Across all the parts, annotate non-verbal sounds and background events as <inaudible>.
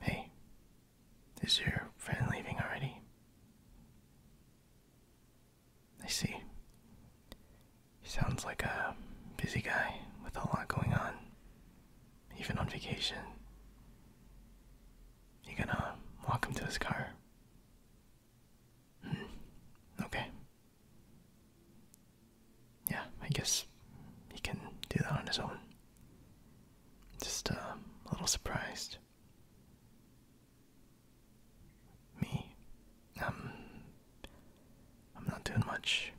Hey, is your friend leaving already? I see. He sounds like a busy guy with a lot going on, even on vacation. You gonna walk him to his car? Hmm. Okay yeah, I guess he can do that on his own. Just uh, a little surprised. Me, um, I'm not doing much.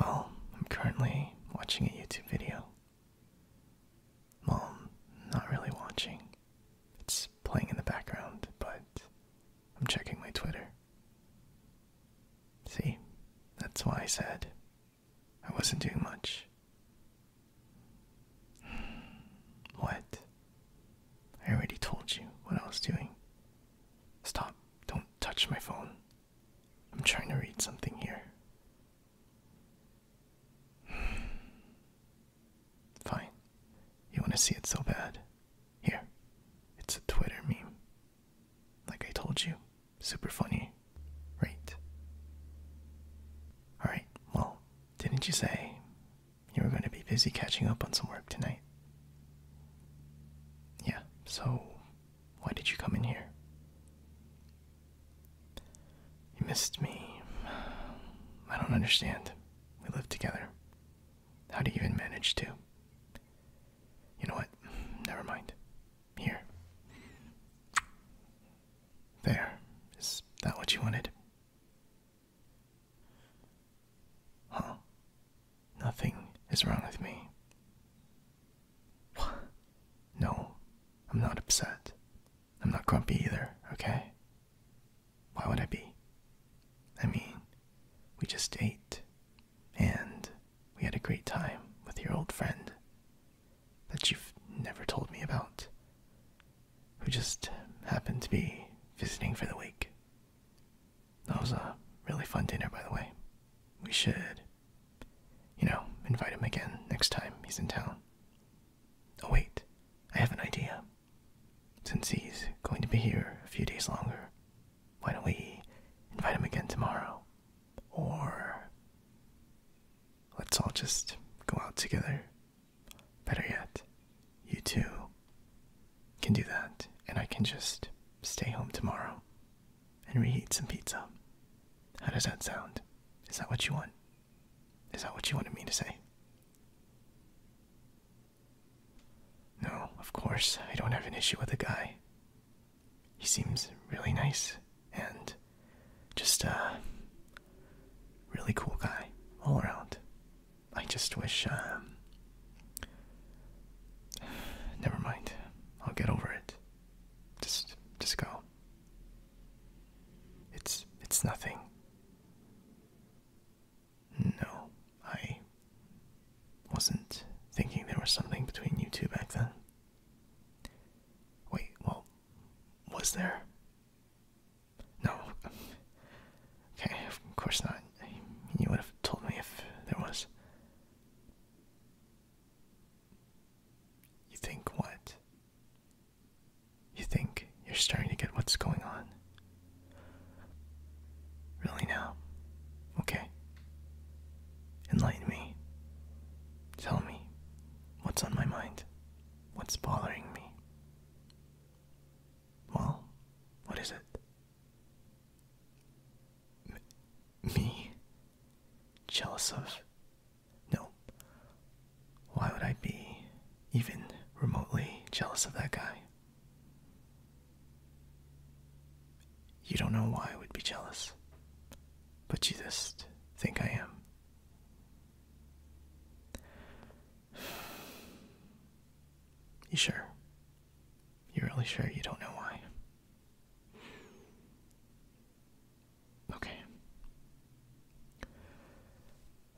Well, I'm currently watching a YouTube video. Well, I'm not really watching. It's playing in the background, but I'm checking my Twitter. See, that's why I said I wasn't doing much. <sighs> What? I already told you what I was doing. Stop. Don't touch my phone. I'm trying to read something here. <sighs> Fine. You want to see it so bad? Here. It's a Twitter meme. Like I told you, super funny, right? Alright, well, didn't you say you were going to be busy catching up on some work tonight? Yeah, so why did you come in here? You missed me. I don't understand. We live together. How do you even manage to? You know what? Never mind. Here. There. Is that what you wanted? Huh? Nothing is wrong with me. No, I'm not upset. I'm not grumpy either, okay? Why would I be? I mean, we just ate and we had a great time with your old friend that you've never told me about, who just happened to be visiting for the week. That was a really fun dinner, by the way. We should, you know, invite him again next time he's in town. Oh, wait, I have an idea. Since he's going to be here a few days longer, why don't we invite him again tomorrow? Or let's all just go out together. Better yet, you two can do that, and I can just stay home tomorrow and reheat some pizza. How does that sound? Is that what you want? Is that what you wanted me to say? No, of course, I don't have an issue with the guy he seems really nice and just a really cool guy all around. I just wish, um, <sighs> never mind. I'll get over it. Just, just go. It's, it's nothing. No, I wasn't thinking there was something between you two back then. Wait, well, was there? No. Okay, of course not. You would have told me if there was. You think what? You think you're starting to get what's going on? Really now? Okay. Enlighten me. Tell me what's on my mind. What's bothering me? Well, what is it? me? Jealous of? No. Why would I be even remotely jealous of that guy? You don't know why I would be jealous, but you just think I am. <sighs> You sure? You are really sure you don't know why? Okay.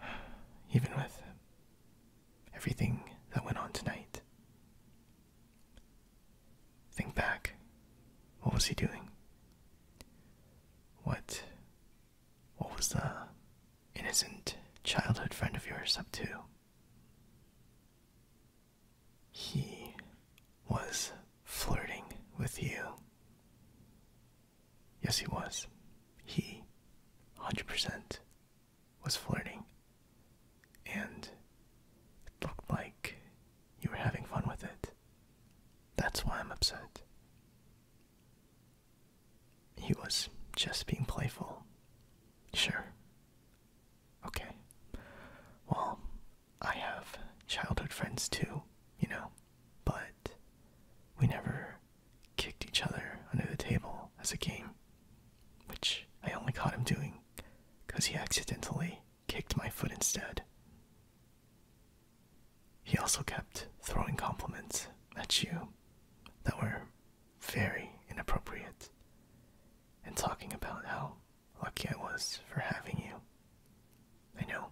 <sighs> Even with everything that went on tonight, Think back. What was he doing? What what was the innocent childhood friend of yours up to? He was flirting with you. Yes, he was. He 100% was flirting and it looked like you were having fun with it. That's why I'm upset. He was just being playful. Sure. Okay. Well, I have childhood friends too, you know, but we never kicked each other under the table as a game, which I only caught him doing because he accidentally kicked my foot instead. He also kept throwing compliments at you that were very inappropriate and talking about how lucky I was for having you. I know,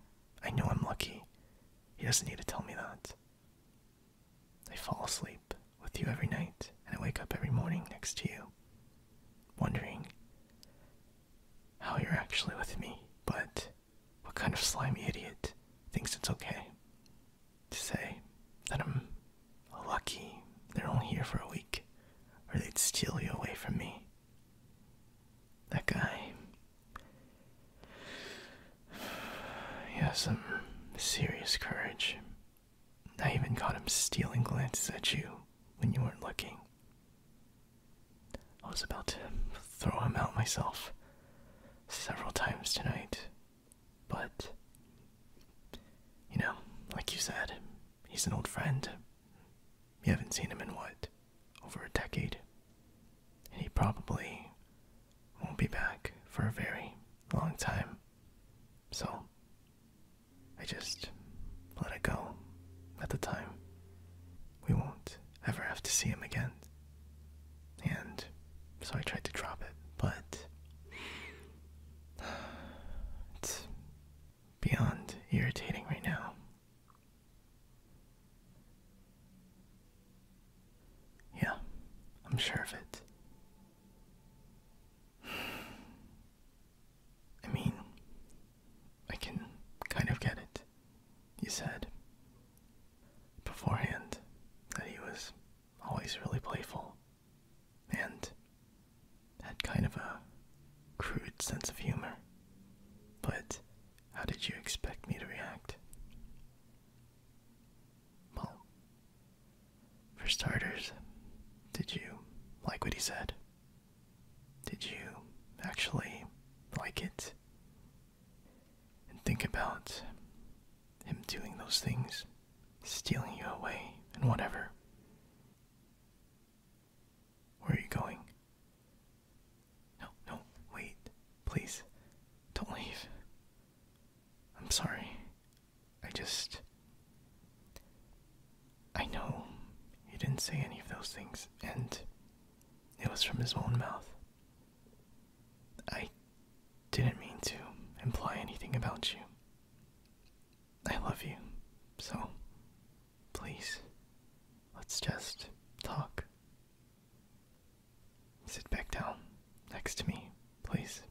I know I'm lucky. He doesn't need to tell me that. I fall asleep with you every night and I wake up every morning next to you wondering how you're actually with me, but what kind of slimy idiot thinks it's okay to say that I'm lucky they're only here for a week or they'd steal you away from me? That guy. <sighs> He has some serious courage I even caught him stealing glances at you when you weren't looking. I was about to throw him out myself several times tonight, but you know, like you said, he's an old friend. You haven't seen him in what? Over a decade. And he probably won't be back for a very long time. So, I just let it go at the time. We won't ever have to see him again. And so I tried to drop it, but <sighs> it's beyond irritating right now. Yeah, I'm sure of it. <sighs> <sighs> I mean, I can kind of get it. He said beforehand that he was always really playful and had kind of a crude sense of humor. But how did you expect me to react? Well, for starters, did you like what he said? Did you actually like it? And think about him doing those things, stealing you away, and whatever. Where are you going? No, no, wait. Please, don't leave. I'm sorry. I just. I know he didn't say any of those things, and it was from his own mouth. I didn't mean to imply anything about you. I love you, so please, let's just talk. Sit back down next to me, please.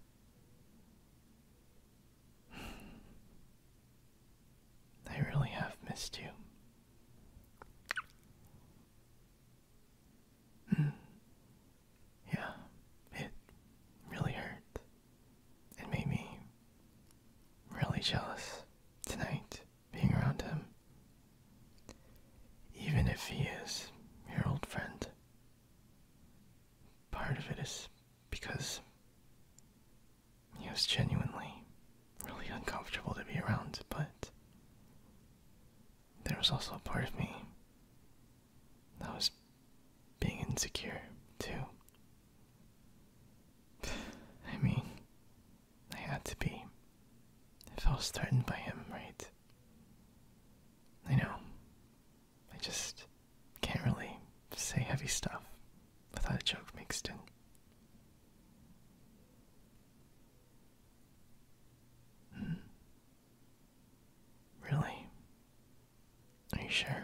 I <sighs> really have missed you. Hmm. Yeah, it really hurt. It made me really jealous tonight being around him. Even if he is your old friend. Part of it is because he was genuinely really uncomfortable to be around, but there was also a part of me that was being insecure, too. I mean, I had to be. I felt threatened by him, right? I know. I just. Can't really say heavy stuff without a joke mixed in. Hmm. Really? Are you sure?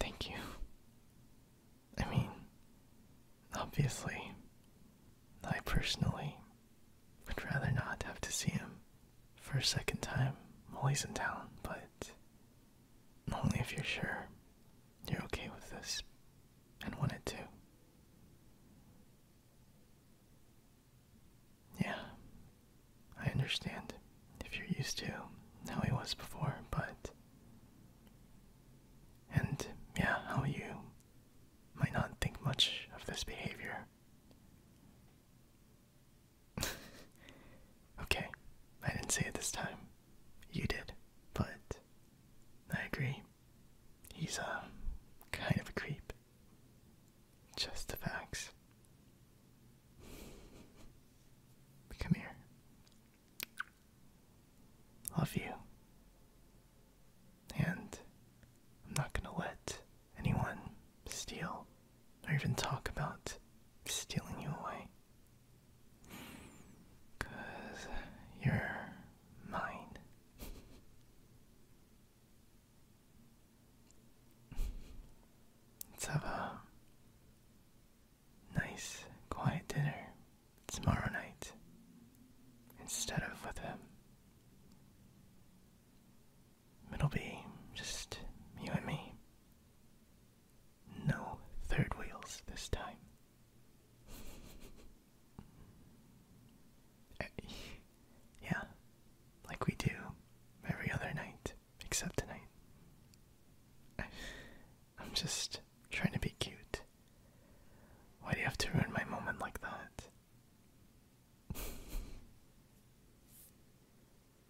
Thank you. I mean, obviously, I personally would rather not have to see him for a second time, Molly's in town, but only if you're sure you're okay with this and want it too. Yeah, I understand if you're used to how he was before, but. And yeah, how you might not think much of this behavior. <laughs> okay, I didn't say it this time. You did, but I agree. He's a um, kind of a creep. Just the facts. <laughs> Come here. Love you. And I'm not gonna let anyone steal or even talk about stealing you away. you you're mine. Let's have a nice, quiet dinner tomorrow night instead of with him. It'll be just you and me. No third wheels this time. <laughs> Eh, yeah, like we do every other night, except tonight. I, am just trying to be cute. Why do you have to ruin my moment like that? <laughs>